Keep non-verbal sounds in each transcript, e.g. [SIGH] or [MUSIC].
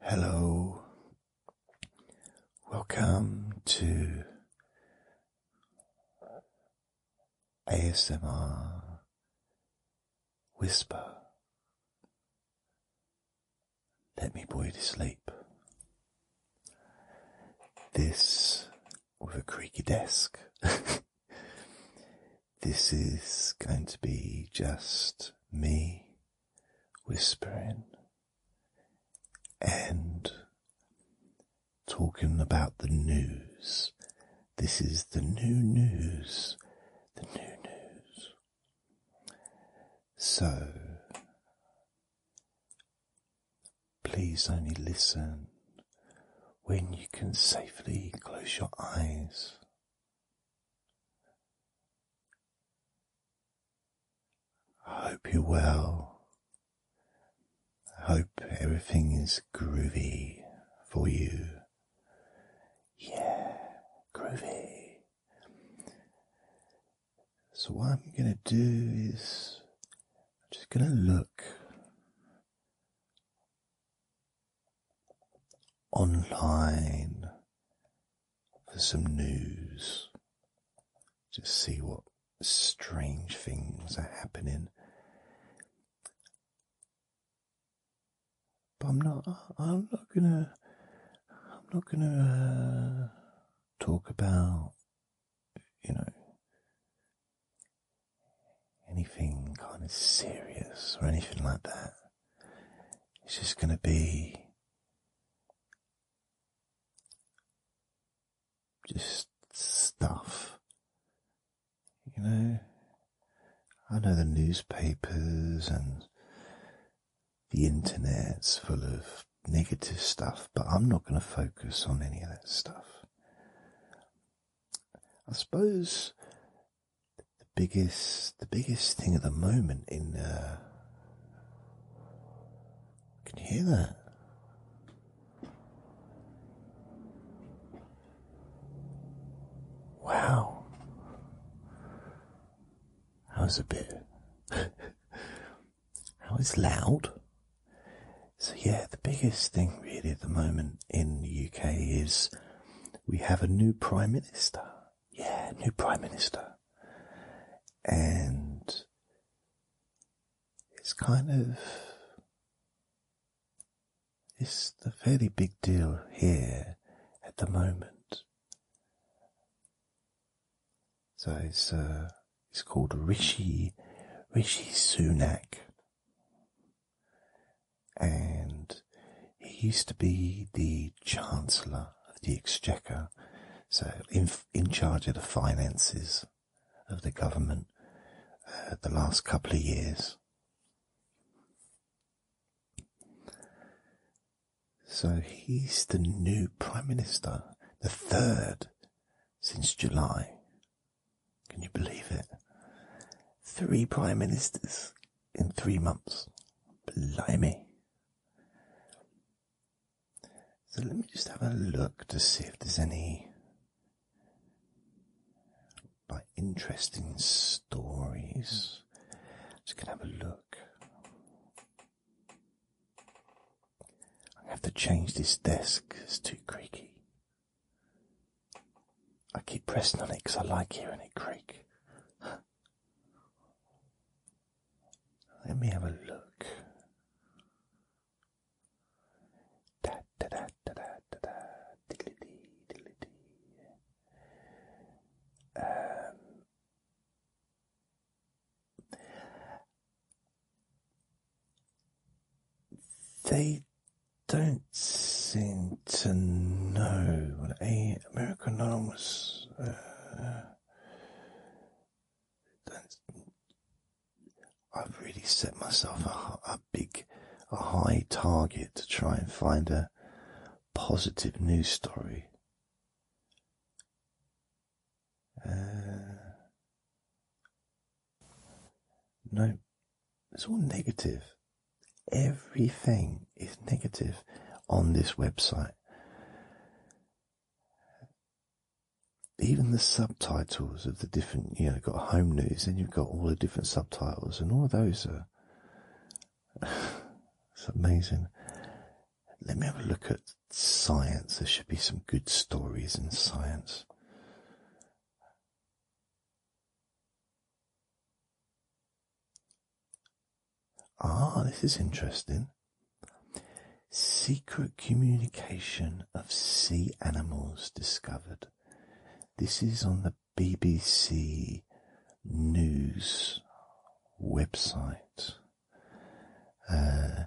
Hello, welcome to ASMR Whisper. Let me you to sleep. This, with a creaky desk, [LAUGHS] this is going to be just me whispering and talking about the news. This is the new news, the new news. So, please only listen when you can safely close your eyes. I hope you're well. I hope everything is groovy for you. Yeah, groovy. So, what I'm going to do is just going to look online for some news. to see what strange things are happening. But I'm not. I'm not gonna. I'm not gonna uh, talk about you know anything kind of serious or anything like that. It's just gonna be just stuff. You know, I know the newspapers and the internet's full of negative stuff, but I'm not going to focus on any of that stuff. I suppose the biggest the biggest thing at the moment in uh, can you hear that? Wow. That was bit [LAUGHS] that loud. So yeah, the biggest thing really at the moment in the UK is we have a new prime minister yeah, new prime minister, and it's kind of it's a fairly big deal here at the moment. So it's uh, it's called Rishi Rishi Sunak, and he used to be the Chancellor of the Exchequer, so in, charge of the finances of the government uh, the last couple of years. So he's the new Prime Minister, the third since July. Can you believe it? Three Prime Ministers in three months. Blimey. So let me just have a look to see if there's any like interesting stories. Just gonna have a look. I have to change this desk it's too creaky. I keep pressing on it because I like hearing it creak. Let me have a look. Da da da da da da da. Diddly dee, diddly dee. Um, they don't seem to know what American Anonymous. Uh, uh, I've really set myself a, big, a high target to try and find a positive news story. Uh, no, it's all negative. Everything is negative on this website. Even the subtitles of the different, you know, got home news, and you've got all the different subtitles, and all of those are [SIGHS] it's amazing. Let me have a look at science. There should be some good stories in science. Ah, this is interesting. Secret communication of sea animals discovered. This is on the BBC News website. Uh,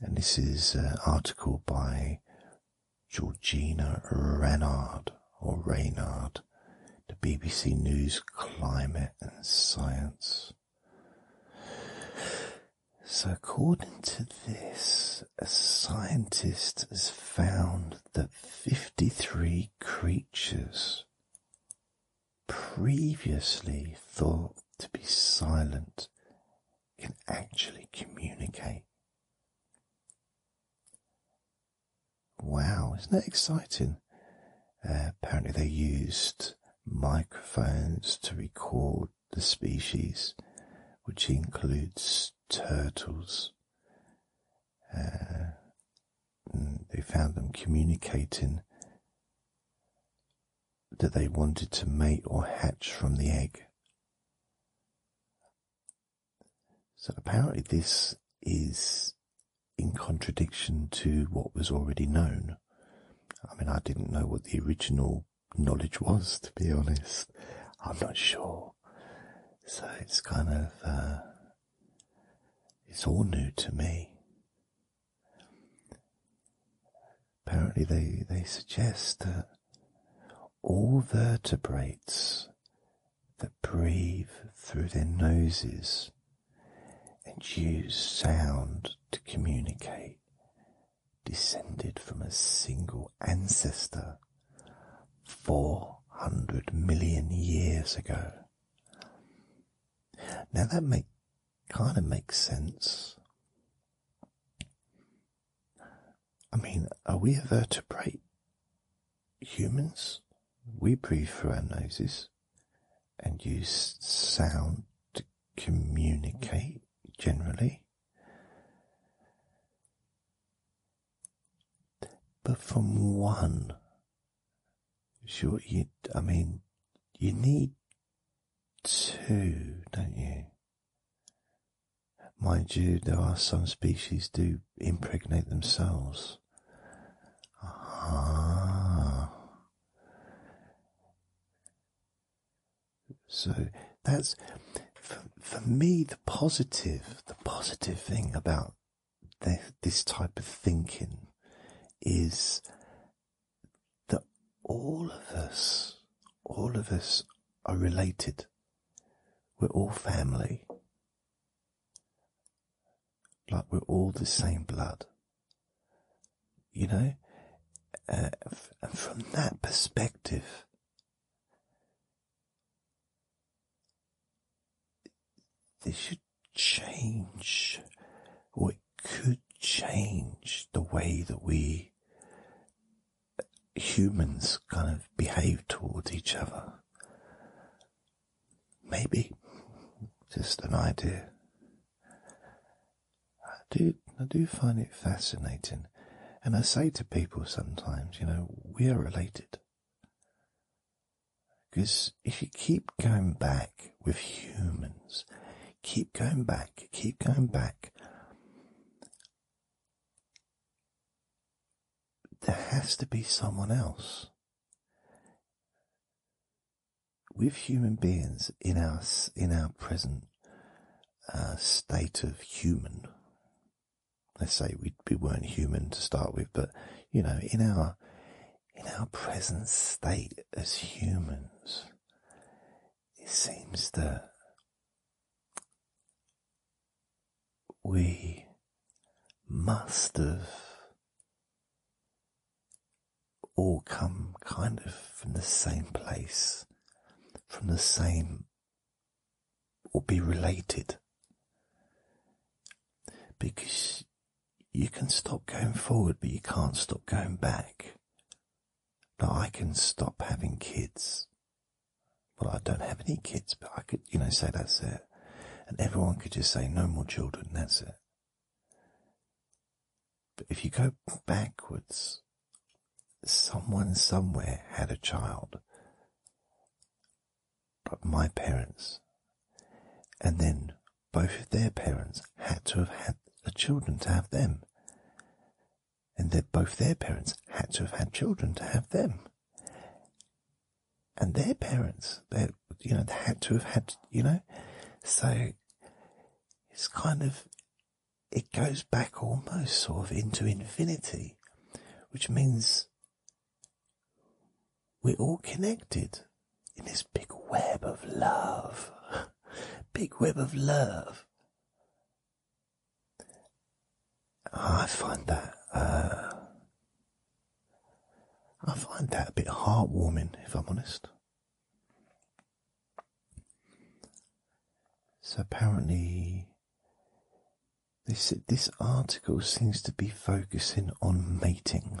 and this is an uh, article by Georgina Ranard or Reynard. The BBC News Climate and Science. So, according to this, a scientist has found that 53 creatures previously thought to be silent can actually communicate. Wow, isn't that exciting? Uh, apparently, they used microphones to record the species, which includes turtles. Uh, mm, they found them communicating that they wanted to mate or hatch from the egg. So apparently, this is in contradiction to what was already known. I mean, I didn't know what the original knowledge was, to be honest. I'm not sure. So it's kind of, uh, it's all new to me. Apparently, they, they suggest that all vertebrates that breathe through their noses and use sound to communicate, descended from a single ancestor 400 million years ago. Now that make, kind of makes sense. I mean, are we a vertebrate? humans, we breathe through our noses and use sound to communicate generally. But from one, sure, you, I mean, you need two, don't you? Mind you, there are some species do impregnate themselves. Ah. So that's for, for me the positive, the positive thing about this type of thinking is that all of us, all of us are related. We're all family like we're all the same blood, you know. Uh, and from that perspective, this should change, or it could change the way that we uh, humans kind of behave towards each other. Maybe. Just an idea. I do, I do find it fascinating. And I say to people sometimes, you know, we are related. Because if you keep going back with humans, keep going back, keep going back, there has to be someone else with human beings in our in our present uh, state of human, let's say we we weren't human to start with, but you know, in our in our present state as humans, it seems that we must have all come kind of from the same place, from the same, or be related. Because you can stop going forward, but you can't stop going back. Now I can stop having kids. Well, I don't have any kids, but I could, you know, say that's it and everyone could just say, no more children, that's it. But if you go backwards, someone somewhere had a child, But my parents, and then both of their parents had to have had children to have them. And then both their parents had to have had children to have them and their parents, that you know, they had to have had, you know, so it's kind of, it goes back almost sort of into infinity, which means we're all connected in this big web of love, [LAUGHS] big web of love. I find that uh, I find that a bit heartwarming, if I'm honest. So apparently, this this article seems to be focusing on mating.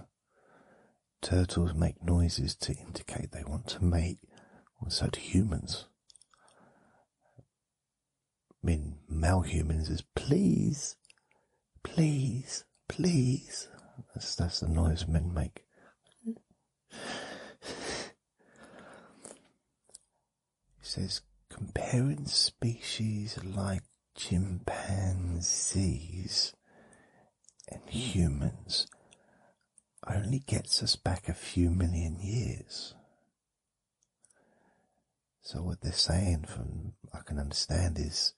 Turtles make noises to indicate they want to mate, or so do humans. I mean, male humans is please Please, please. That's, that's the noise men make. He says, comparing species like chimpanzees and humans only gets us back a few million years. So, what they're saying from I can understand is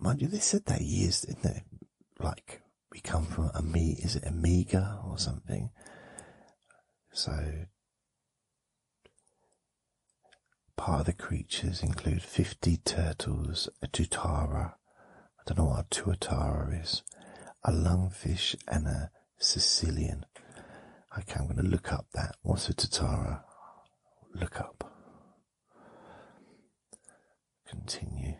mind you, they said that years, didn't they? Like, we come from a me, is it Amiga or something? So, part of the creatures include 50 turtles, a tutara, I don't know what a tuatara is, a lungfish and a Sicilian. Okay, I'm going to look up that. What's a Tatara? Look up. Continue.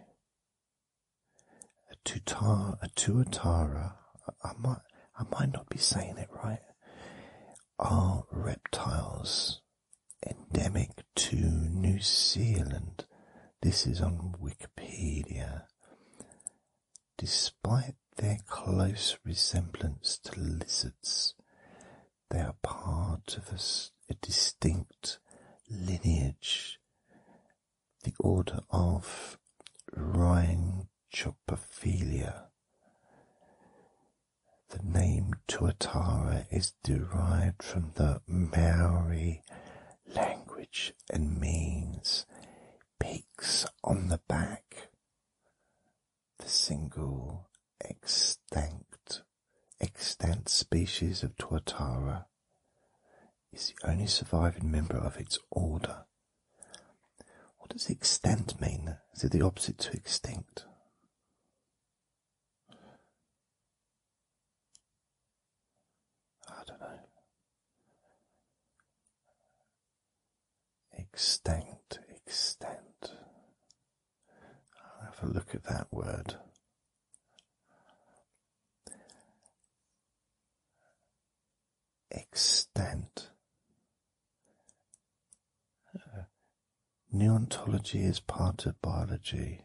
A tutar, a tuatara. I might, I might not be saying it right. Are reptiles endemic to New Zealand? This is on Wikipedia. Despite their close resemblance to lizards, they are part of a, distinct lineage, the order of Rhynchopophilia. The name Tuatara is derived from the Maori language and means peaks on the back, the single extinct extant species of tuatara is the only surviving member of its order. What does extant mean? Is it the opposite to extinct? I don't know extent, extent. I'll have a look at that word. Extent. neontology is part of biology.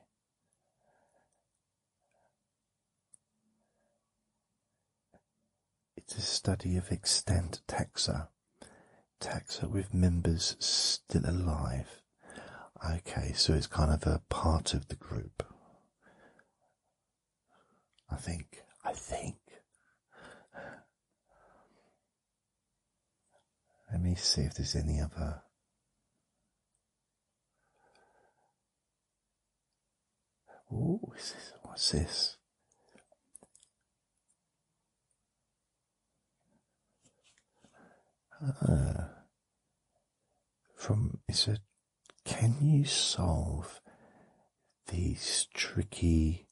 It's a study of extant taxa, taxa with members still alive. Okay, so it's kind of a part of the group. I think. I think. Let me see if there's any other. Ooh, what's this? Uh, from is it? Can you solve these tricky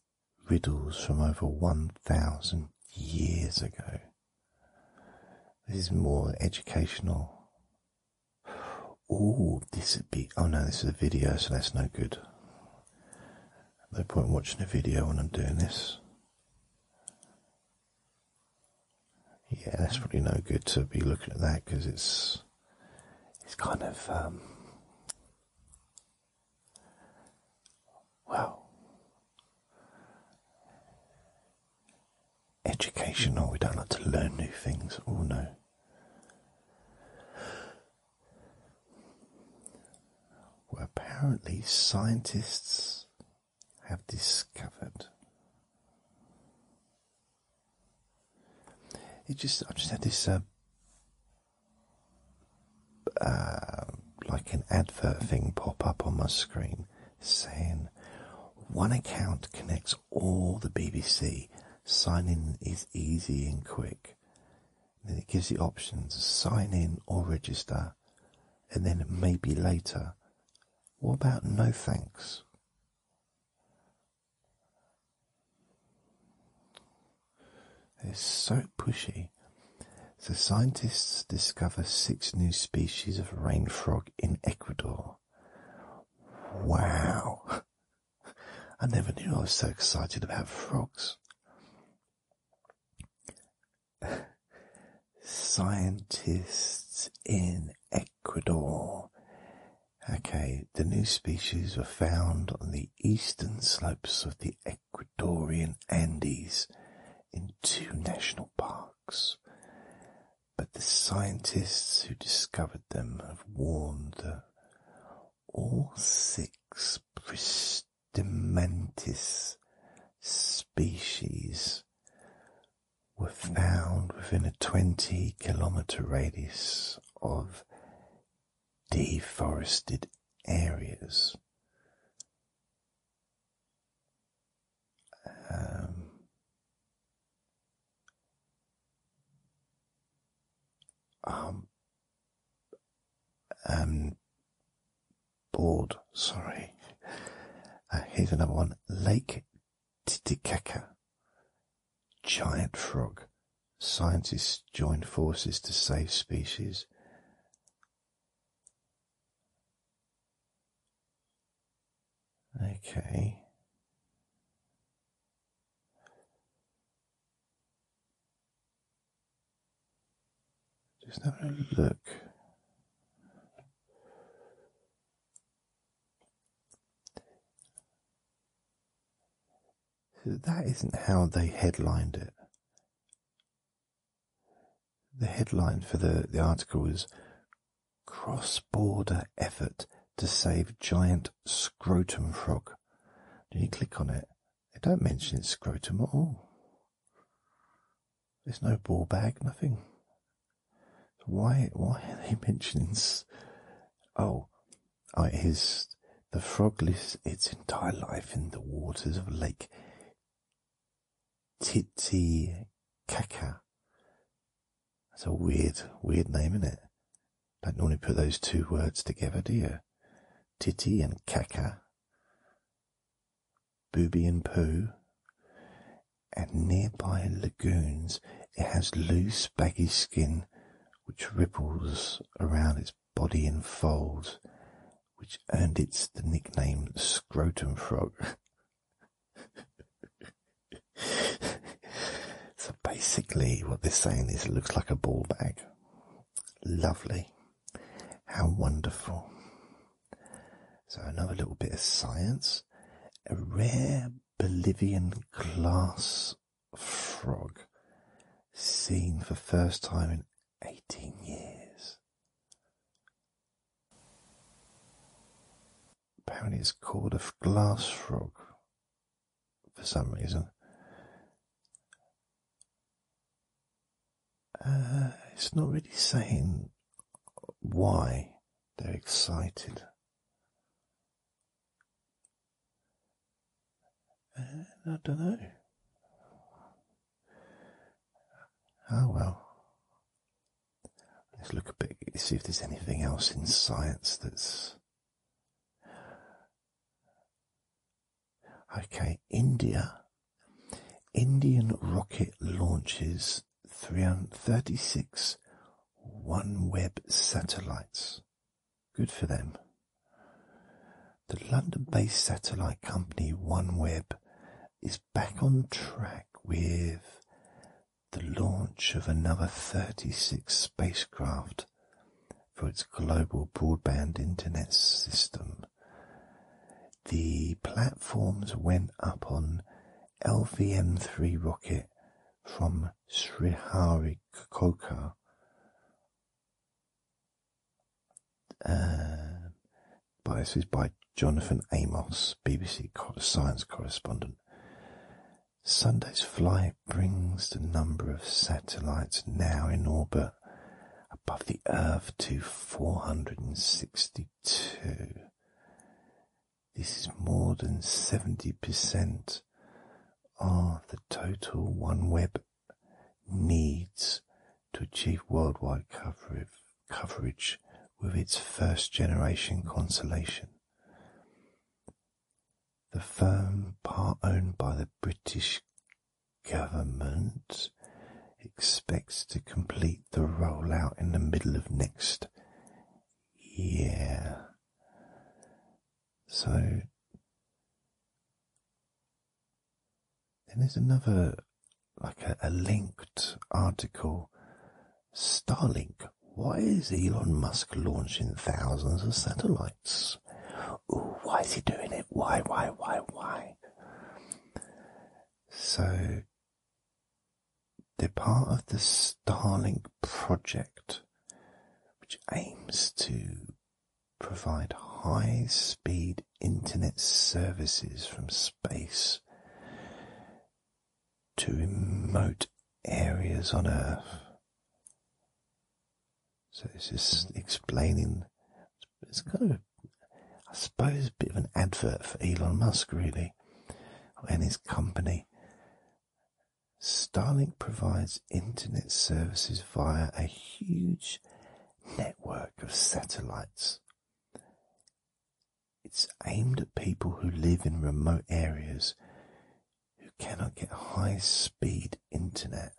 riddles from over one thousand years ago? This is more educational. Oh, this would be. Oh no, this is a video, so that's no good. No point watching a video when I'm doing this. Yeah, that's probably no good to be looking at that because it's it's kind of um, well educational. We don't like to learn new things. Oh no were apparently scientists have discovered. It just I just had this uh, uh, like an advert thing pop up on my screen saying one account connects that's all the BBC. Sign in is easy and quick. Then it gives you options sign in or register, and then maybe later. What about no thanks? It's so pushy. So scientists discover six new species of rain frog in Ecuador. Wow. [LAUGHS] I never knew I was so excited about frogs. [LAUGHS] Scientists in Ecuador. Okay, the new species were found on the eastern slopes of the Ecuadorian Andes in two national parks. But the scientists who discovered them have warned that all six *Pristimantis* species were found within a 20 kilometre radius of deforested areas. Um, um, um, bored, sorry. Uh, here's another one. Lake Titicaca. Giant frog. Scientists join forces to save species. Okay. Just have a look. That isn't how they headlined it. The headline for the, the article is Cross Border Effort to Save Giant Scrotum Frog. Do you click on it. They don't mention scrotum at all. There's no ball bag, nothing. why? Why are they [LAUGHS] mentioning? Oh, oh, it is. The frog lives its entire life in the waters of Lake Titicaca. That's a weird, weird name, isn't it? Don't normally put those two words together, do you? Titty and caca. Booby and poo. And nearby lagoons, it has loose, baggy skin which ripples around its body in folds, which earned it the nickname scrotum frog. [LAUGHS] so basically, what they're saying is it looks like a ball bag. Lovely. How wonderful. So, another little bit of science. A rare Bolivian glass frog seen for the first time in 18 years. Apparently, it's called a glass frog for some reason. Uh, it's not really saying why they're excited. Uh, I don't know. Oh well. Let's look a bit, see if there's anything else in science that's Okay, India. Indian rocket launches 336 OneWeb satellites. Good for them. The London based satellite company OneWeb is back on track with the launch of another 36 spacecraft for its global broadband internet system. The platforms went up on LVM3 rocket from Sriharikoka. Uh, but this is by Jonathan Amos, BBC science correspondent. Sunday's flight brings the number of satellites now in orbit above the Earth to 462. This is more than 70% of the total OneWeb needs to achieve worldwide coverage with its first generation constellation. The firm, part owned by the British government, expects to complete the rollout in the middle of next year. So, then there's another, like a, linked article Starlink why is Elon Musk launching thousands of satellites? why is he doing it? Why, why, why, why? So, they're part of the Starlink project, which aims to provide high speed internet services from space to remote areas on Earth. So this is explaining. It's kind of, I suppose, a bit of an advert for Elon Musk, really, and his company. Starlink provides internet services via a huge network of satellites. It's aimed at people who live in remote areas who cannot get high speed internet.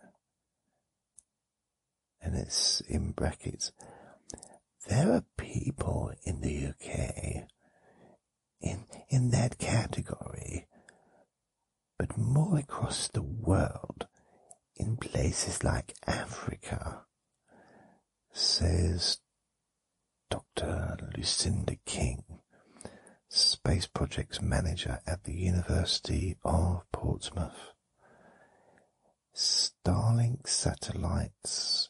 And it's in brackets. There are people in the UK in, in that category, but more across the world in places like Africa, says Dr. Lucinda King, Space Projects Manager at the University of Portsmouth. Starlink satellites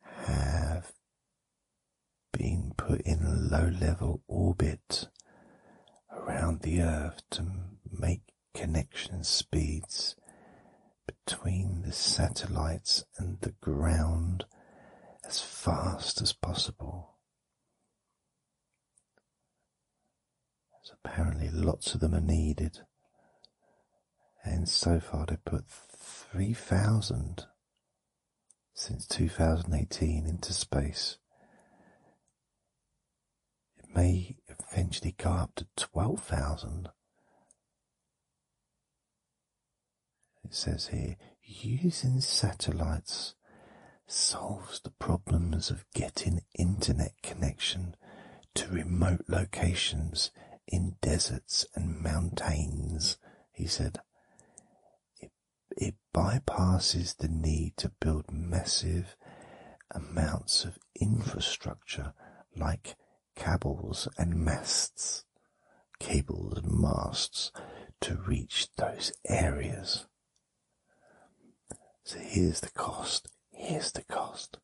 have been put in low level orbit around the Earth to make connection speeds between the satellites and the ground as fast as possible. As apparently lots of them are needed, and so far they've put 3,000 since 2018 into space. It may eventually go up to 12,000 it says here, using satellites solves the problems of getting internet connection to remote locations in deserts and mountains, he said. It, it bypasses the need to build massive amounts of infrastructure like cables and masts cables and masts to reach those areas. So here's the cost. Here's the cost.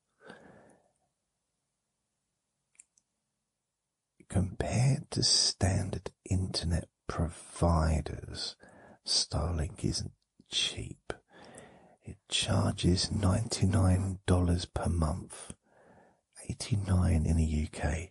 Compared to standard internet providers, Starlink isn't cheap. It charges $99 per month, 89 in the UK,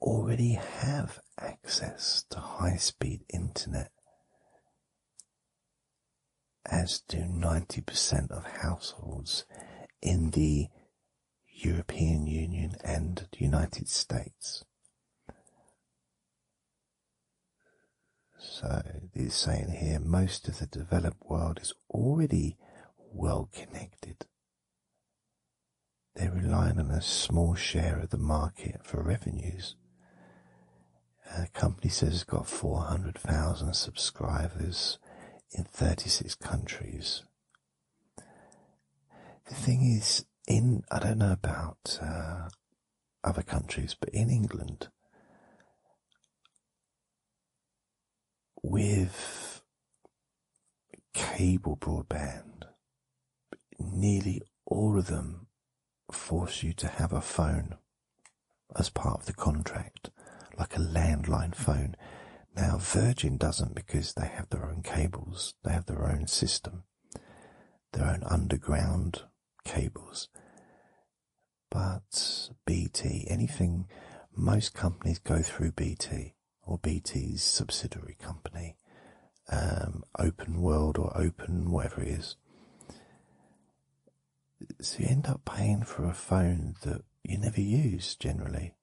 already have access to high speed internet, as do 90% of households in the European Union and the United States. So it's saying here most of the developed world is already well connected. They're relying on a small share of the market for revenues. The company says it's got 400,000 subscribers in 36 countries. The thing is, in I don't know about uh, other countries, but in England, with cable broadband, nearly all of them force you to have a phone as part of the contract, like a landline phone. Now, Virgin doesn't because they have their own cables, they have their own system, their own underground cables. But BT, anything, most companies go through BT or BT's subsidiary company, um, Open World or Open whatever it is. So you end up paying for a phone that you never use generally.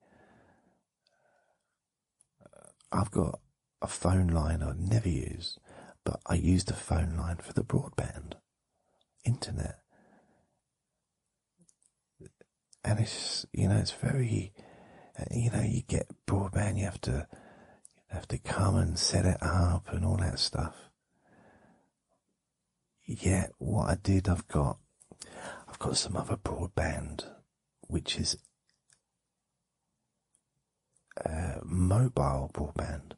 I've got a phone line I never use, but I use the phone line for the broadband, internet and it's you know it's very uh, you know you get broadband you have to have to come and set it up and all that stuff Yet what i did i've got i've got some other broadband which is uh, mobile broadband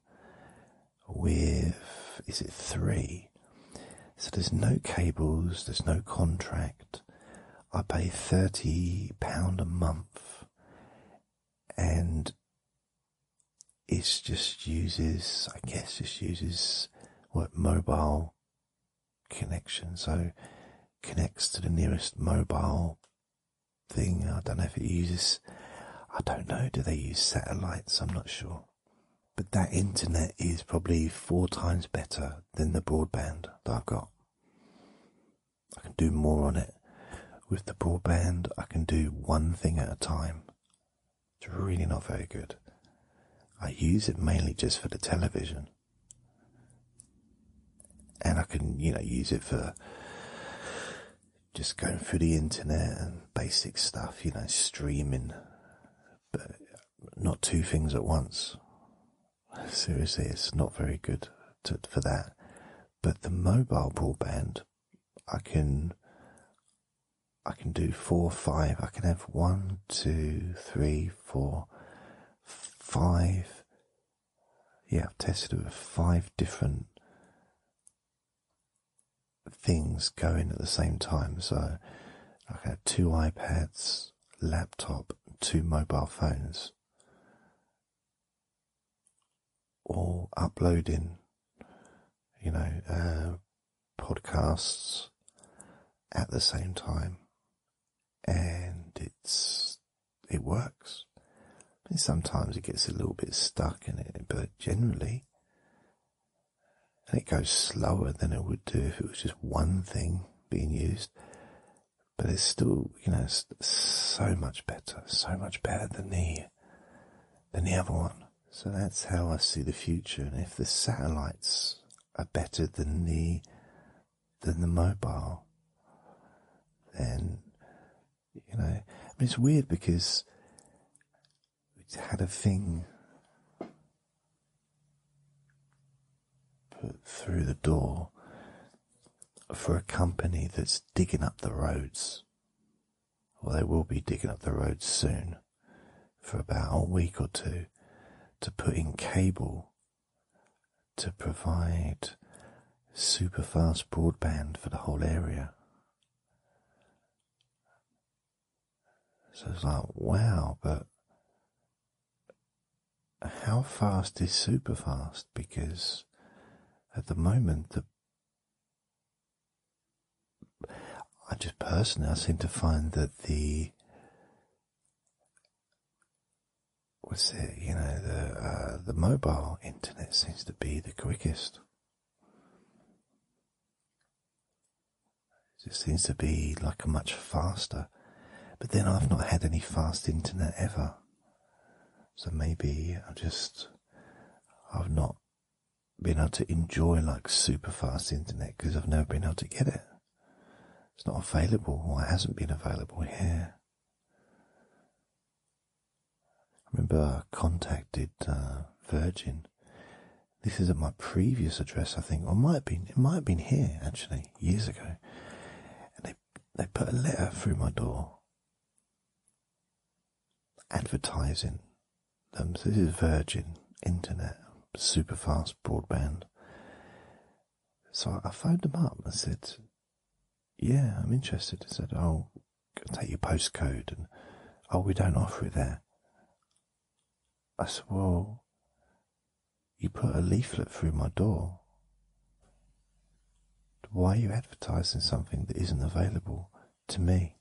with is it three so there's no cables there's no contract I pay thirty pound a month, and it just uses, I guess, just uses what mobile connection, so connects to the nearest mobile thing. I don't know if it uses. I don't know. Do they use satellites? I'm not sure. But that internet is probably four times better than the broadband that I've got. I can do more on it. With the broadband, I can do one thing at a time. It's really not very good. I use it mainly just for the television. And I can, you know, use it for just going through the internet and basic stuff, you know, streaming, but not two things at once seriously, it's not very good for that. But the mobile broadband, I can, I can do four, five. I can have one, two, three, four, five. Yeah, I've tested with five different things going at the same time. So I can have two iPads, laptop to mobile phones, or uploading, you know, uh, podcasts at the same time, and it's it works. sometimes it gets a little bit stuck and it, but generally. And it goes slower than it would do if it was just one thing being used, but it's still, you know, so much better, so much better than the than the other one. So that's how I see the future. And if the satellites are better than the than the mobile, then you know, I mean, it's weird because we had a thing put through the door for a company that's digging up the roads. Well, they will be digging up the roads soon for about a week or two to put in cable to provide super fast broadband for the whole area. So it's like, wow, but how fast is super fast because at the moment I just personally I seem to find that the what's it you know the uh, the mobile internet seems to be the quickest it just seems to be like much faster. But then I've not had any fast internet ever. So maybe I have just, I've not been able to enjoy like super fast internet because I've never been able to get it. It's not available or it hasn't been available here. I remember I contacted uh, Virgin. This is at my previous address, I think, or might have it might have been here actually years ago, and they they put a letter through my door advertising them. this is Virgin Internet, super fast broadband. So I phoned them up and said, "Yeah, I'm interested." They said, "Oh, take your postcode," and "Oh, we don't offer it there." I said, Well, you put a leaflet through my door. Why are you advertising something that isn't available to me?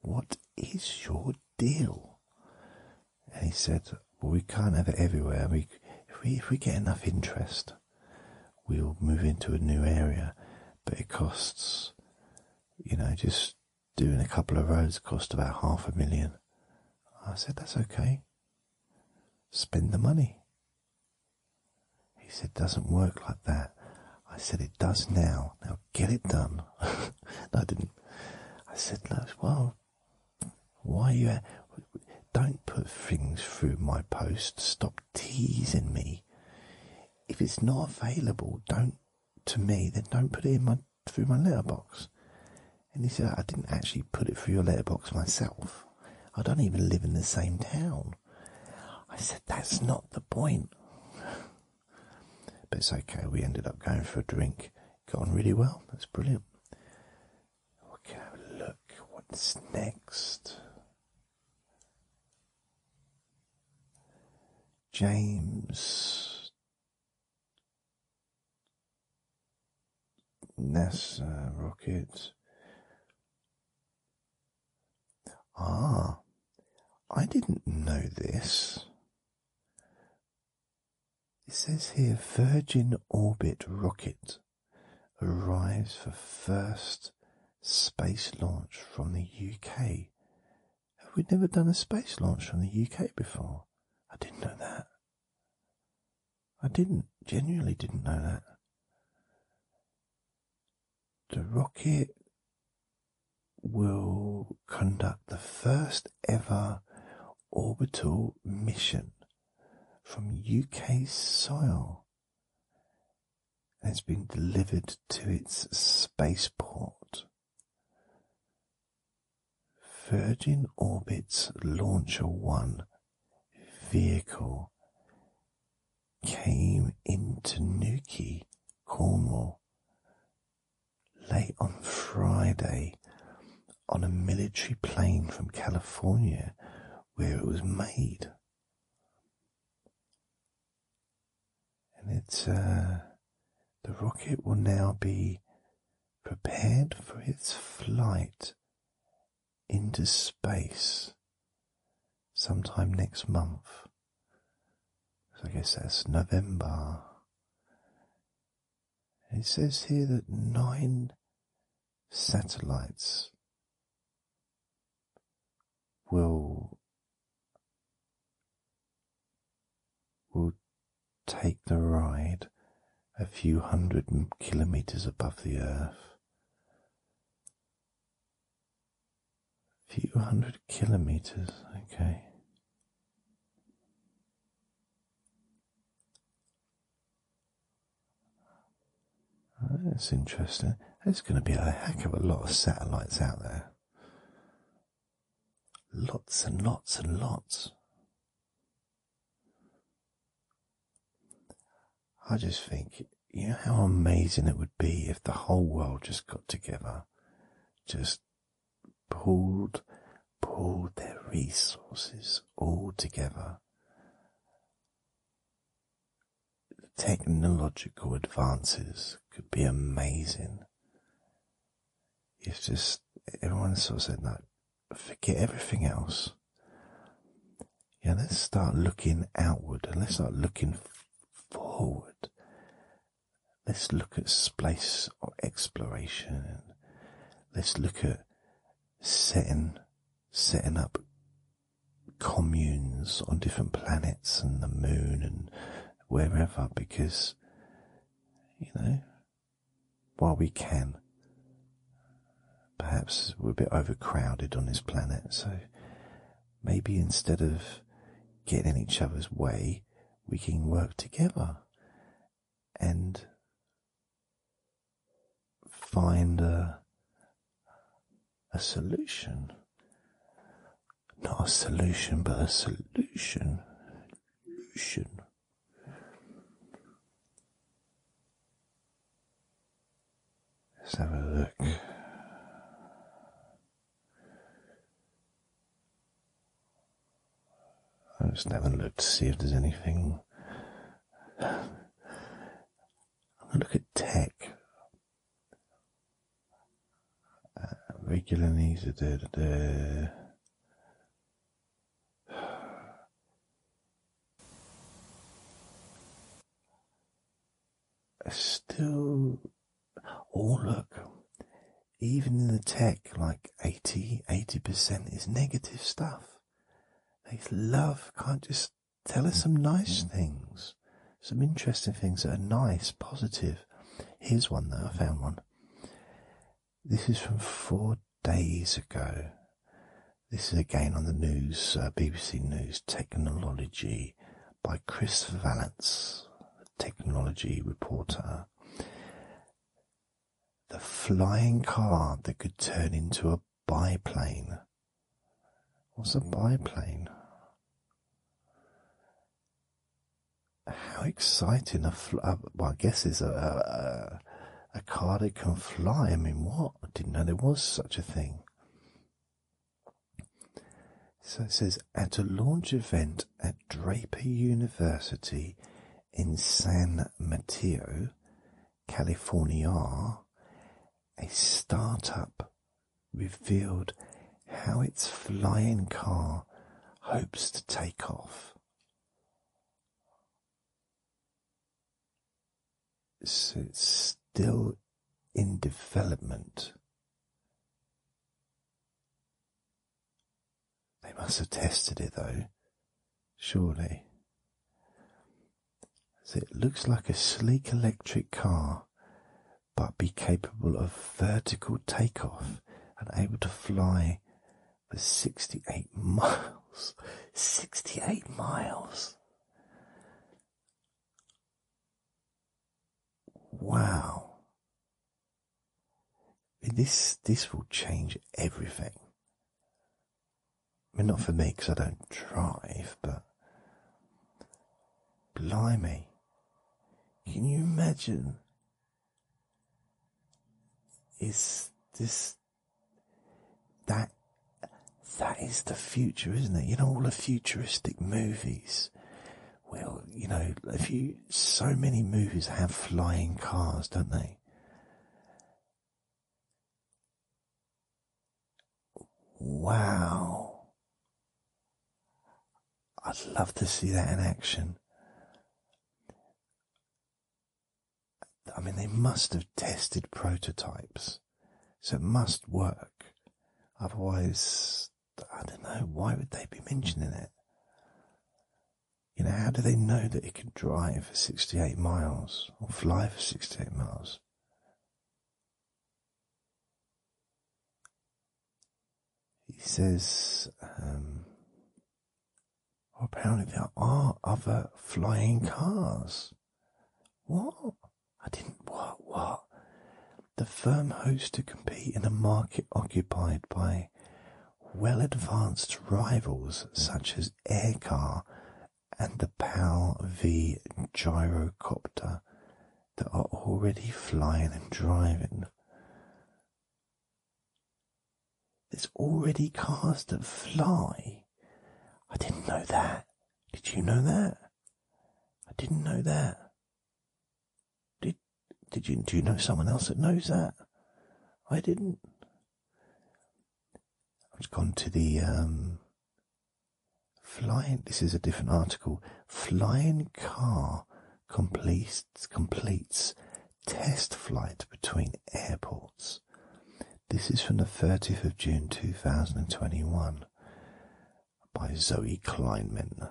What is your deal? And he said, Well, we can't have it everywhere. We, if, we, if we get enough interest, we'll move into a new area, but it costs, you know, just doing a couple of roads cost about half a million. I said, That's okay. Spend the money. He said, Doesn't work like that. I said, It does now. Now get it done. [LAUGHS] no, I didn't. I said, no, Well, why you. don't put things through my post. Stop teasing me. If it's not available, don't to me, then don't put it in my through my letterbox. And he said, I didn't actually put it through your letterbox myself. I don't even live in the same town. I said, that's not the point. but it's okay. We ended up going for a drink. Got on really well. That's brilliant. Okay, look. What's next? James NASA rocket. Ah, I didn't know this. It says here Virgin Orbit rocket arrives for first space launch from the UK. Have we never done a space launch from the UK before? I didn't know that. I didn't, genuinely didn't know that. The rocket will conduct the first ever orbital mission from UK soil. And it's been delivered to its spaceport Virgin Orbit's Launcher One vehicle came into Newquay, Cornwall, late on Friday on a military plane from California where it was made. And it's uh, the rocket will now be prepared for its flight into space sometime next month. So I guess that's November. it says here that nine satellites will will take the ride a few hundred kilometers above the earth. A few hundred kilometers, okay. Oh, that's interesting. There's going to be a heck of a lot of satellites out there. Lots and lots and lots. I just think, you know how amazing it would be if the whole world just got together, just pulled, pulled their resources all together. The Technological advances could be amazing it's just everyone sort of said that forget everything else. Yeah, let's start looking outward and let's start looking forward. Let's look at space or exploration. Let's look at setting setting up communes on different planets and the moon and wherever because you know while we can. Perhaps we're a bit overcrowded on this planet, so maybe instead of getting in each other's way, we can work together and find a, solution. Not a solution, but a Solution. Let's have a look. I'll just have a look to see if there's anything. I'm going to look at tech. Uh, regular needs da, da, still, oh look, even in the tech, like 80, 80% is negative stuff. They love, can't just tell us some nice mm-hmm. things, some interesting things that are nice, positive. Here's one though, I found one. This is from four days ago. This is again on the news, uh, BBC News Technology by Chris Valance, technology reporter. The flying car that could turn into a biplane. was a biplane? How exciting! A uh, well, I guess is a, a a car that can fly. I mean, what? I didn't know there was such a thing. So it says at a launch event at Draper University in San Mateo, California, a startup revealed how its flying car hopes to take off. So it's still in development. They must have tested it though, surely. So it looks like a sleek electric car, but be capable of vertical takeoff and able to fly for 68 miles. [LAUGHS] 68 miles. Wow. This this will change everything. not for me because I don't drive, but blimey, can you imagine is this that that is the future, isn't it? You know, all the futuristic movies. Well, you know, if you so many movies have flying cars, don't they? Wow. I'd love to see that in action. I mean, they must have tested prototypes, so it must work. Otherwise, I don't know, why would they be mentioning it? You know, how do they know that it can drive for 68 miles or fly for 68 miles? He says, um, apparently there are other flying cars. What? I didn't. What? What? The firm hopes to compete in a market occupied by well advanced rivals such as Aircar and the PAL V gyrocopter that are already flying and driving that's already cast at fly. I didn't know that. Did you know that? I didn't know that. Did did you do you know someone else that knows that? I didn't. I've just gone to the um flying this is a different article. Flying car completes completes test flight between airports. This is from the 30th of June 2021 by Zoe Kleinman.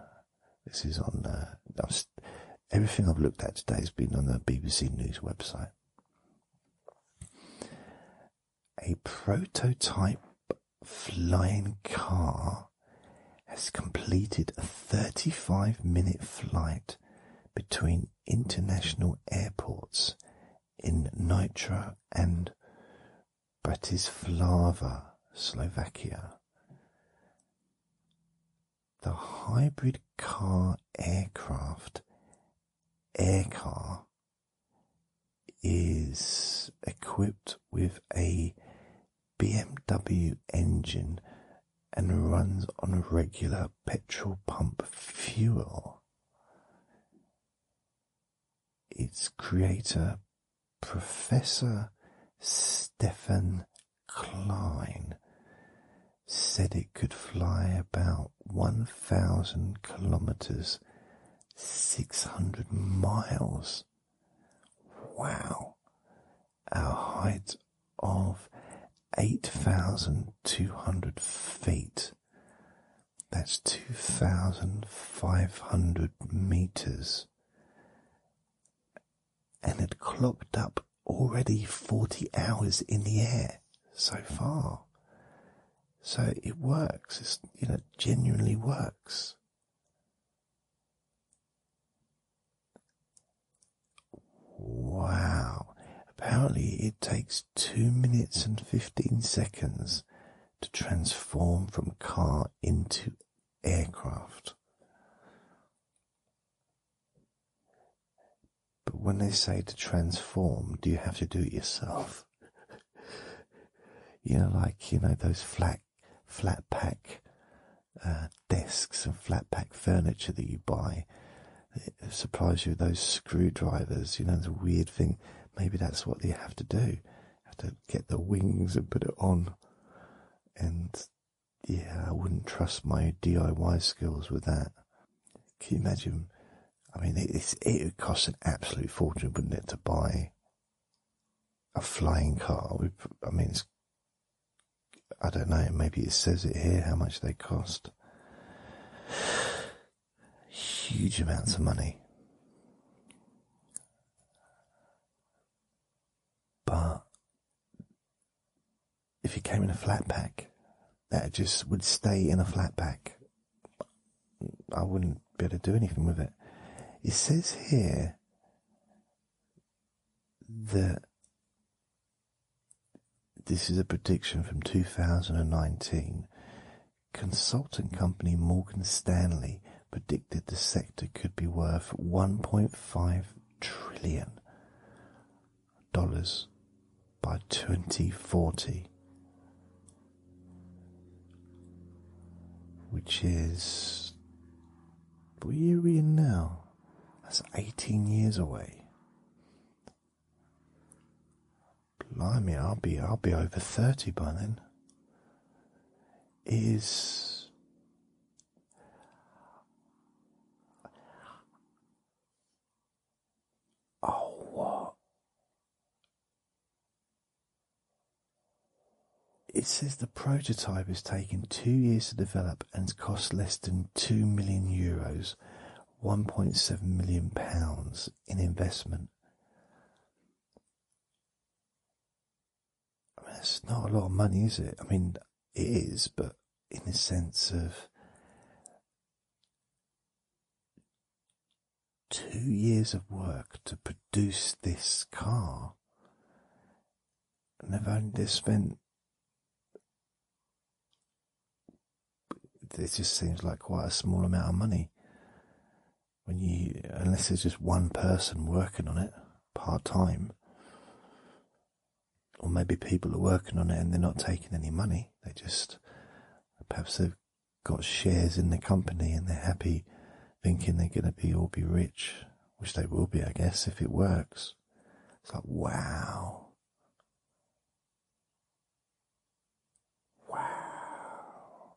This is on, uh, everything I've looked at today has been on the BBC News website. A prototype flying car has completed a 35 minute flight between international airports in Nitra and Bratislava, Slovakia. The hybrid car aircraft, Aircar, is equipped with a BMW engine and runs on regular petrol pump fuel. Its creator, Professor Stefan Klein, said it could fly about 1,000 kilometers, 600 miles. Wow! our height of 8,200 feet. That's 2,500 meters. And it clocked up already 40 hours in the air so far. So it works. It's, you know, genuinely works. Wow, apparently it takes 2 minutes and 15 seconds to transform from car into aircraft. But when they say to transform, do you have to do it yourself? [LAUGHS] you know, like you know those flat, flat pack uh, desks and flat pack furniture that you buy. It supplies you with those screwdrivers, you know, the weird thing. Maybe that's what you have to do. You have to get the wings and put it on. And yeah, I wouldn't trust my DIY skills with that. Can you imagine? I mean, it's, it would cost an absolute fortune, wouldn't it, to buy a flying car? I mean, it's I don't know, maybe it says it here how much they cost. Huge amounts of money. But if it came in a flat pack, that just would stay in a flat pack. I wouldn't be able to do anything with it. It says here that this is a prediction from 2019. Consultant company Morgan Stanley predicted the sector could be worth 1.5 trillion dollars by 2040, which is what are we now? That's 18 years away. Blimey, I'll be I'll be over 30 by then. Is Oh It says the prototype has taken two years to develop and cost less than 2 million euros, 1.7 million pounds in investment. it's not a lot of money, is it? I mean, it is, but in the sense of two years of work to produce this car, and they've only spent it just seems like quite a small amount of money when you unless there's just one person working on it part time or maybe people are working on it and they're not taking any money they just perhaps they've got shares in the company and they're happy thinking they're going to be all be rich which they will be i guess if it works it's like, wow. Wow.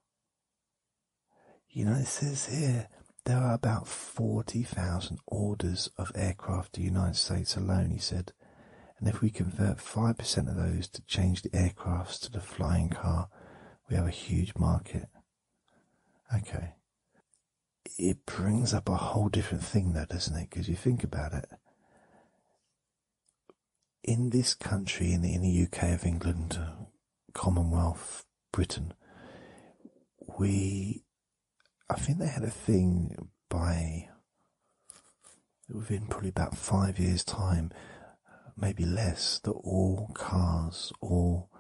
You know, it says here there are about 40,000 orders of aircraft to the United States alone, he said. And if we convert 5% of those to change the aircrafts to the flying car, we have a huge market. Okay it brings up a whole different thing, though, doesn't it? Because you think about it. In this country, in the, UK of England, uh, Commonwealth, Britain, we, I think they had a thing by within probably about five years' time, maybe less, that all cars, all,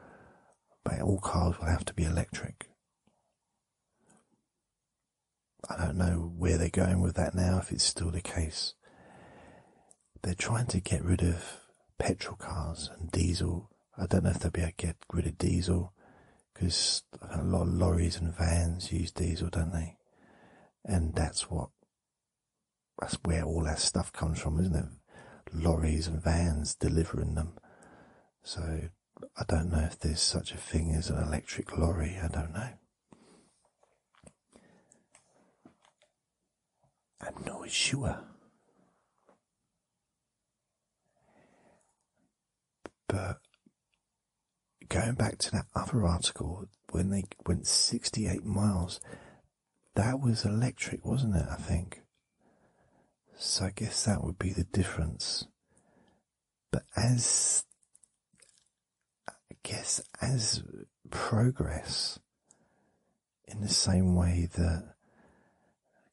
all cars will have to be electric. I don't know where they're going with that now, if it's still the case. They're trying to get rid of petrol cars and diesel. I don't know if they'll be able to get rid of diesel because a lot of lorries and vans use diesel, don't they? And that's what, that's where all that stuff comes from, isn't it? Lorries and vans delivering them. So I don't know if there's such a thing as an electric lorry, I don't know. I'm not sure. But going back to that other article, when they went 68 miles, that was electric, wasn't it? I think. So I guess that would be the difference. But as I guess as progress, in the same way that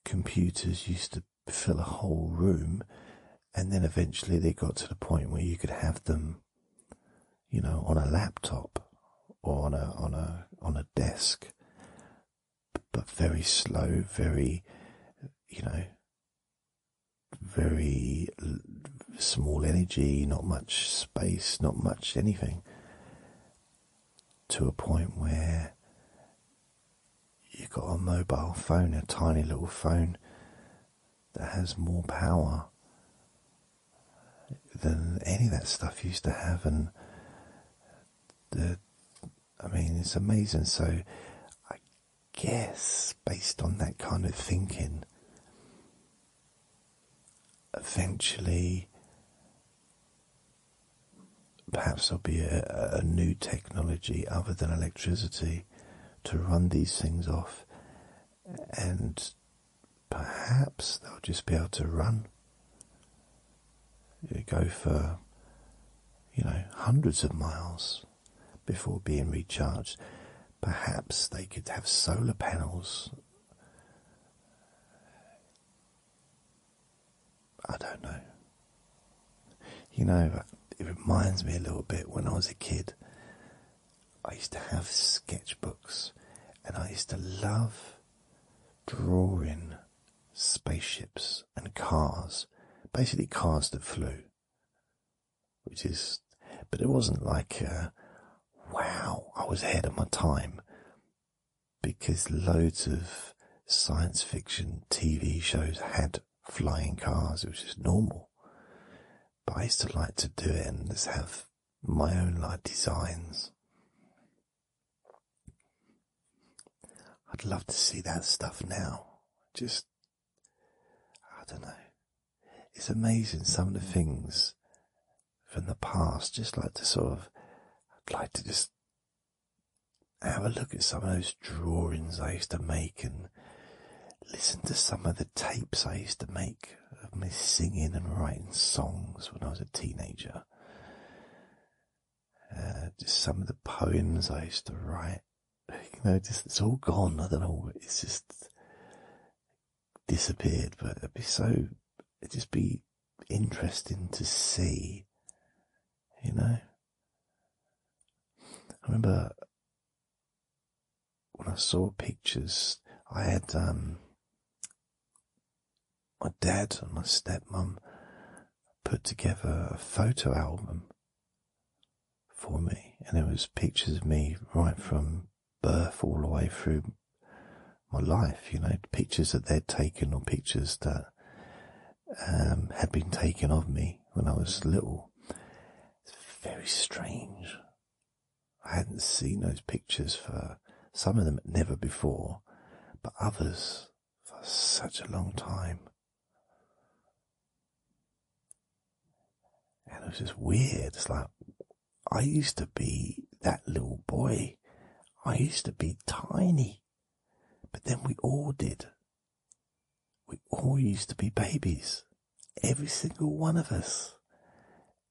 computers used to fill a whole room, and then eventually they got to the point where you could have them, you know, on a laptop or on a on a on a desk but very slow, very, you know, very small energy, not much space, not much anything, to a point where you've got a mobile phone, a tiny little phone that has more power than any of that stuff used to have, and the I mean, it's amazing. So, I guess based on that kind of thinking, eventually, perhaps there'll be a, new technology other than electricity to run these things off, and perhaps they'll just be able to run go for, you know, hundreds of miles before being recharged. Perhaps they could have solar panels. I don't know. You know, it reminds me a little bit when I was a kid. I used to have sketchbooks and I used to love drawing spaceships and cars, basically cars that flew. Which is, but it wasn't like, uh, wow, I was ahead of my time, because loads of science fiction TV shows had flying cars. It was just normal. But I used to like to do it and have my own like designs. I'd love to see that stuff now. Just, I don't know. It's amazing some of the things from the past. Just like to sort of, I'd like to just have a look at some of those drawings I used to make and listen to some of the tapes I used to make of me singing and writing songs when I was a teenager. Uh, just some of the poems I used to write. You know, just it's all gone. I don't know. It's just disappeared. But it'd be so. It'd just be interesting to see. You know. I remember when I saw pictures. I had um, my dad and my stepmom put together a photo album for me, and it was pictures of me right from birth all the way through my life, you know, pictures that they'd taken or pictures that um, had been taken of me when I was little. It's very strange. I hadn't seen those pictures for some of them never before, but others for such a long time. And it was just weird. It's like, I used to be that little boy. I used to be tiny. But then we all did. We all used to be babies. Every single one of us.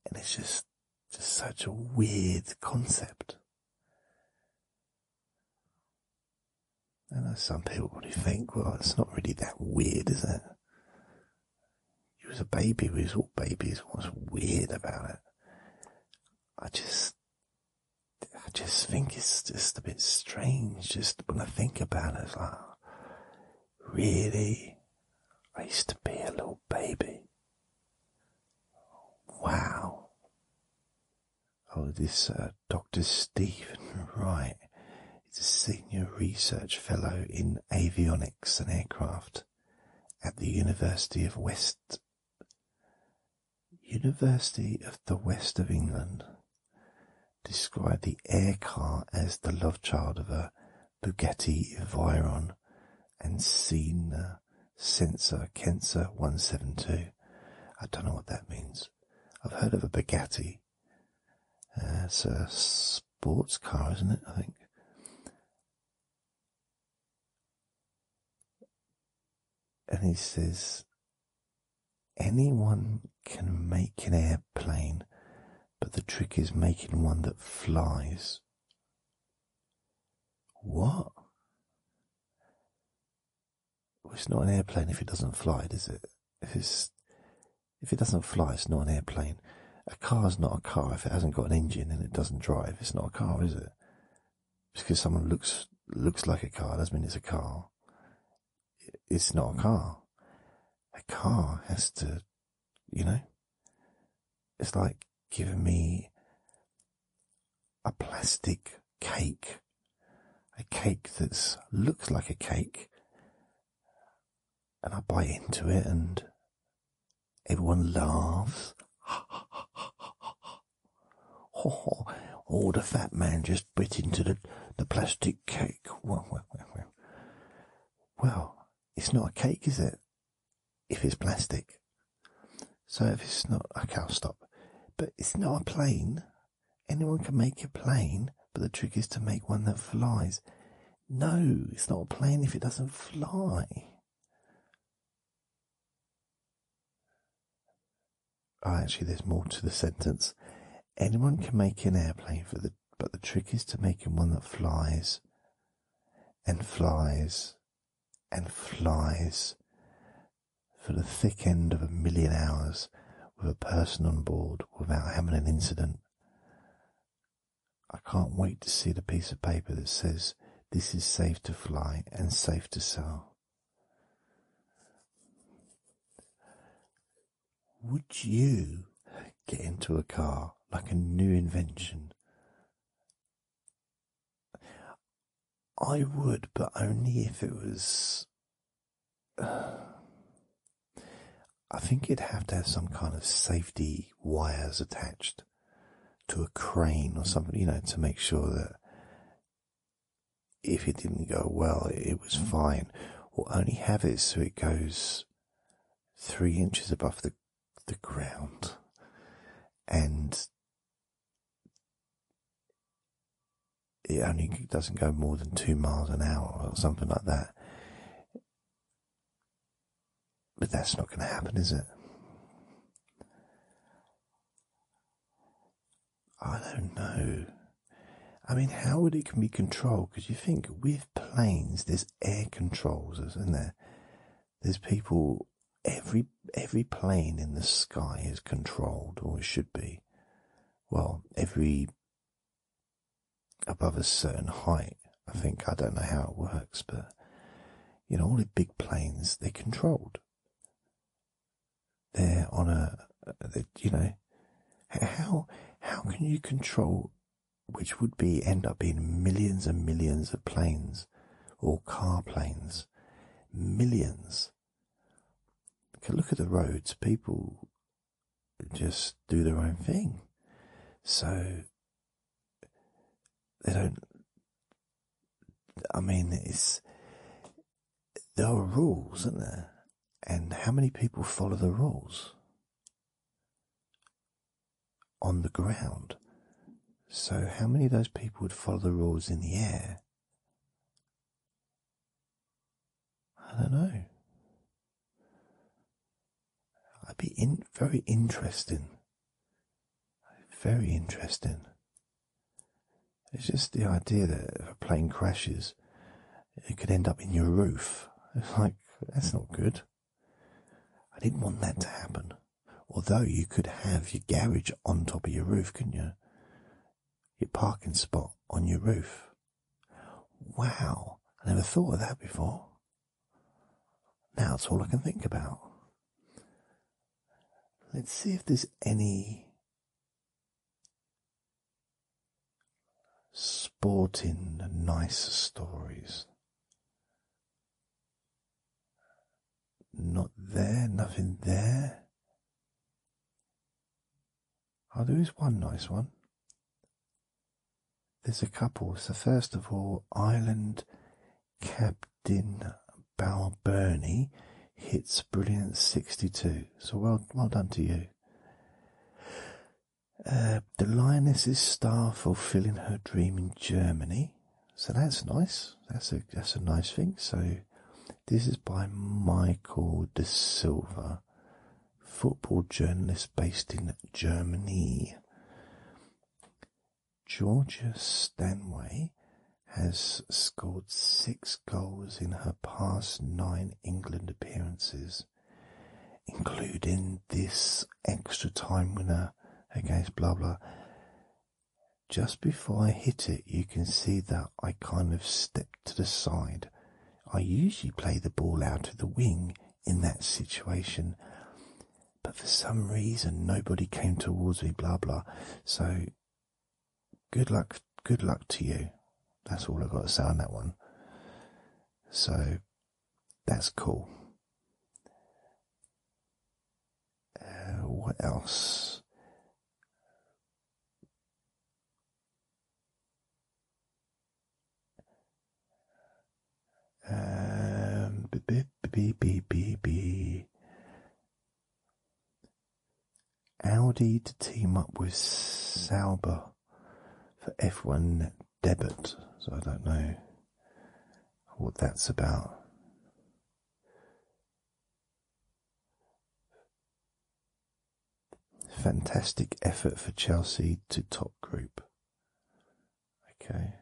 And it's just, just such a weird concept. I know uh, some people probably think, well, it's not really that weird, is it? He was a baby, we was all babies. What's weird about it? I just, I just think it's just a bit strange. Just when I think about it, really? I used to be a little baby. Wow. Oh, this uh, Dr. Stephen Wright is a senior research fellow in avionics and aircraft at the University of West University of the West of England. Described the air car as the love child of a Bugatti Veyron and seen Centa, Kenser 172. I don't know what that means. I've heard of a Bugatti. Uh, it's a sports car, isn't it? I think. And he says, anyone can make an airplane, but the trick is making one that flies. What? it's not an airplane if it doesn't fly, is it? If if it doesn't fly, it's not an airplane. A car's not a car if it hasn't got an engine and it doesn't drive. It's not a car, is it? Just because someone looks looks like a car doesn't mean it's a car. It's not a car. A car has to, you know. It's like giving me a plastic cake, a cake that looks like a cake, and I bite into it, and everyone laughs. oh, [LAUGHS] oh, the fat man just bit into the, the plastic cake. Well, well, well, well, it's not a cake, is it? If it's plastic. So it's not, a cow stop. But it's not a plane. Anyone can make a plane, but the trick is to make one that flies. No, it's not a plane if it doesn't fly. Oh, actually, there's more to the sentence. Anyone can make an airplane, but the trick is to make one that flies and flies and flies for the thick end of a million hours with a person on board without having an incident. I can't wait to see the piece of paper that says this is safe to fly and safe to sell. Would you get into a car like a new invention? I would, but only if it was. [SIGHS] I think it'd have to have some kind of safety wires attached to a crane or something, you know, to make sure that if it didn't go well, it was mm. fine. Or only have it so it goes three inches above the the ground and it only doesn't go more than two miles an hour or something like that. But that's not going to happen, is it? I don't know. I mean, how would it can be controlled? Because you think with planes, there's air controls, isn't there? There's people every every plane in the sky is controlled, or it should be. Well, every above a certain height, I think I don't know how it works, but you know all the big planes they're controlled. They're on a, uh, you know, how how can you control? Which would be end up being millions and millions of planes or car planes, millions look at the roads, people just do their own thing. So they don't. I mean, there are rules, aren't there? And how many people follow the rules on the ground? So how many of those people would follow the rules in the air? I don't know. I'd be in very interesting. Very interesting. It's just the idea that if a plane crashes, it could end up in your roof. It's [LAUGHS] like, that's not good. I didn't want that to happen. Although you could have your garage on top of your roof, couldn't you? Your parking spot on your roof. Wow, I never thought of that before. Now it's all I can think about. Let's see if there's any sporting nice stories. Not there, nothing there. Oh, there is one nice one. There's a couple. So, first of all, Island Captain Balberni hits brilliant 62. So, well, well done to you. Uh, the lioness is star fulfilling her dream in Germany. So that's nice. That's a that's a nice thing. So this is by Michael De Silva, football journalist based in Germany. Georgia Stanway has scored six goals in her past nine England appearances, including this extra time winner against blah blah. Just before I hit it, you can see that I kind of stepped to the side. I usually play the ball out of the wing in that situation, but for some reason nobody came towards me, blah blah. So, good luck, good luck to you. That's all I've got to say on that one. So, that's cool. Uh, what else? Um, beep, beep, beep, beep, beep. Audi to team up with Sauber for F1 debit. So I don't know what that's about. Fantastic effort for Chelsea to top group. Okay.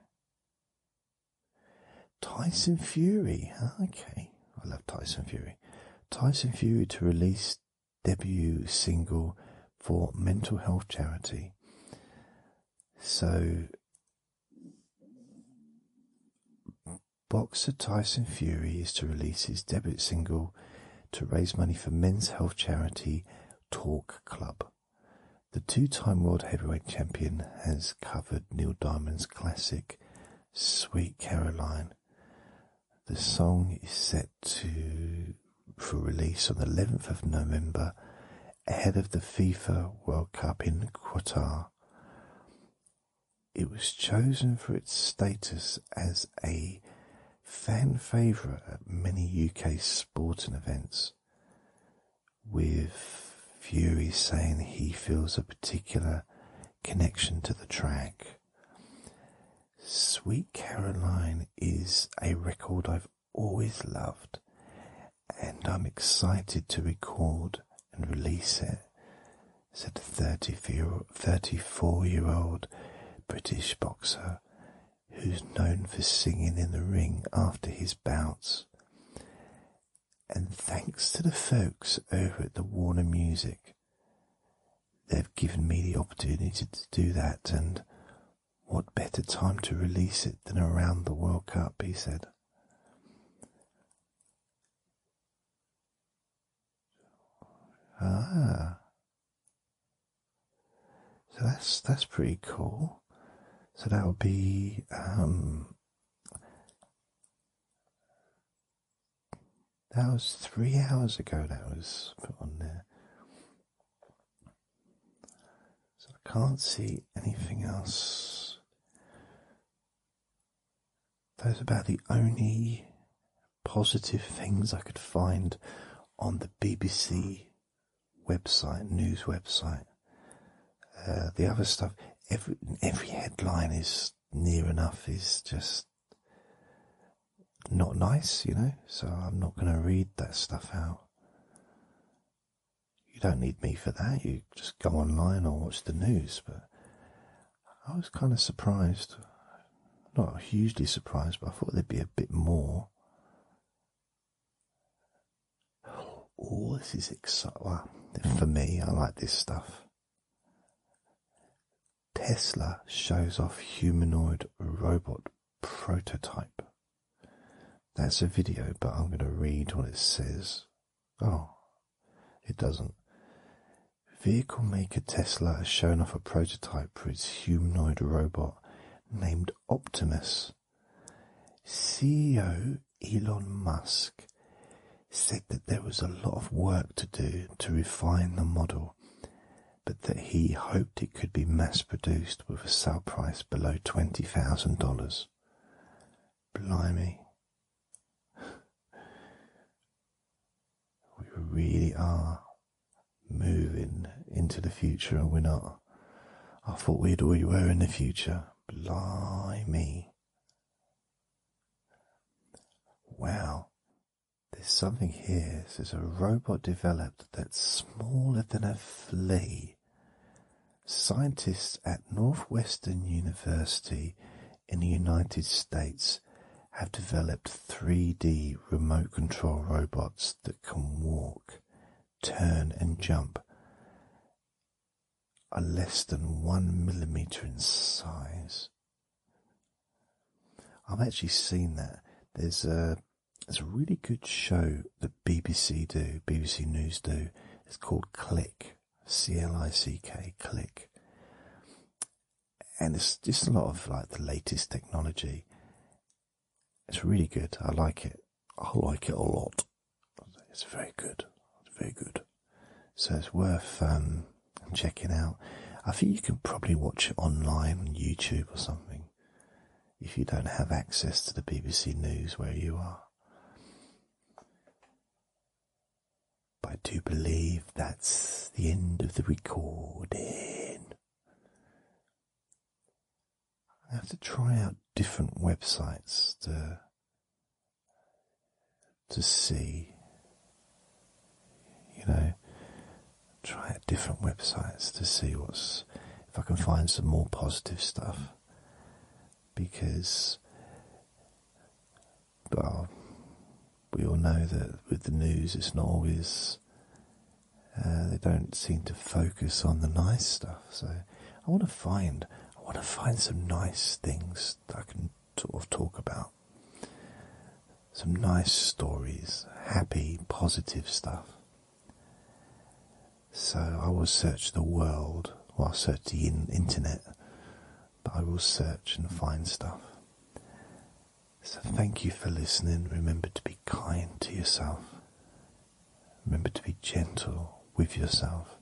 Tyson Fury. Okay. I love Tyson Fury. Tyson Fury to release debut single for mental health charity. So boxer Tyson Fury is to release his debut single to raise money for men's health charity Talk Club. The two-time world heavyweight champion has covered Neil Diamond's classic Sweet Caroline. The song is set to for release on the 11th of November ahead of the FIFA World Cup in Qatar. It was chosen for its status as a fan favourite at many UK sporting events, with Fury saying he feels a particular connection to the track. Sweet Caroline is a record I've always loved, and I'm excited to record and release it said the 34 year old British boxer who's known for singing in the ring after his bouts. And thanks to the folks over at the Warner Music, they've given me the opportunity to do that, and what better time to release it than around the World Cup, he said. Ah. So that's that's pretty cool. So that would be um, that was three hours ago that was put on there. So I can't see anything else those are about the only positive things I could find on the BBC website, news website. Uh, the other stuff, every every headline is near enough is just not nice, you know. So I'm not going to read that stuff out you don't need me for that. You just go online or watch the news. But I was kind of surprised, not hugely surprised, but I thought there'd be a bit more. Oh, this is exciting. for me, I like this stuff. Tesla shows off humanoid robot prototype. That's a video, but I'm going to read what it says. Oh, it doesn't. Vehicle maker Tesla has shown off a prototype for its humanoid robot named Optimus. CEO Elon Musk said that there was a lot of work to do to refine the model, but that he hoped it could be mass produced with a sell price below $20,000. Blimey, we really are moving into the future, and we're not. I thought we'd already were in the future. Blimey. Well, There's something here. There's a robot developed that's smaller than a flea Scientists at Northwestern University in the United States have developed three-D remote control robots that can walk, turn and jump, are less than one millimeter in size. I've actually seen that. There's a there's a really good show that BBC do, BBC News do. It's called Click. C-L-I-C-K, click. And it's just a lot of like the latest technology. It's really good. I like it. I like it a lot. It's very good. It's very good. So it's worth um, checking out. I think you can probably watch it online on YouTube or something if you don't have access to the BBC News where you are. But I do believe that's the end of the recording. I have to try out different websites to to see. You know, try out different websites to see what's if I can find some more positive stuff because but we all know that with the news, it's not always. Uh, they don't seem to focus on the nice stuff. So I want to find, I want to find some nice things that I can sort of talk about. Some nice stories, happy, positive stuff. So I will search the world well, I'll search the internet, but I will search and find stuff. So, thank you for listening. Remember to be kind to yourself. Remember to be gentle with yourself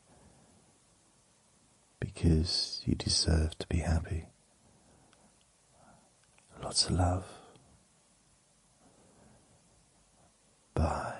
because you deserve to be happy. Lots of love. Bye.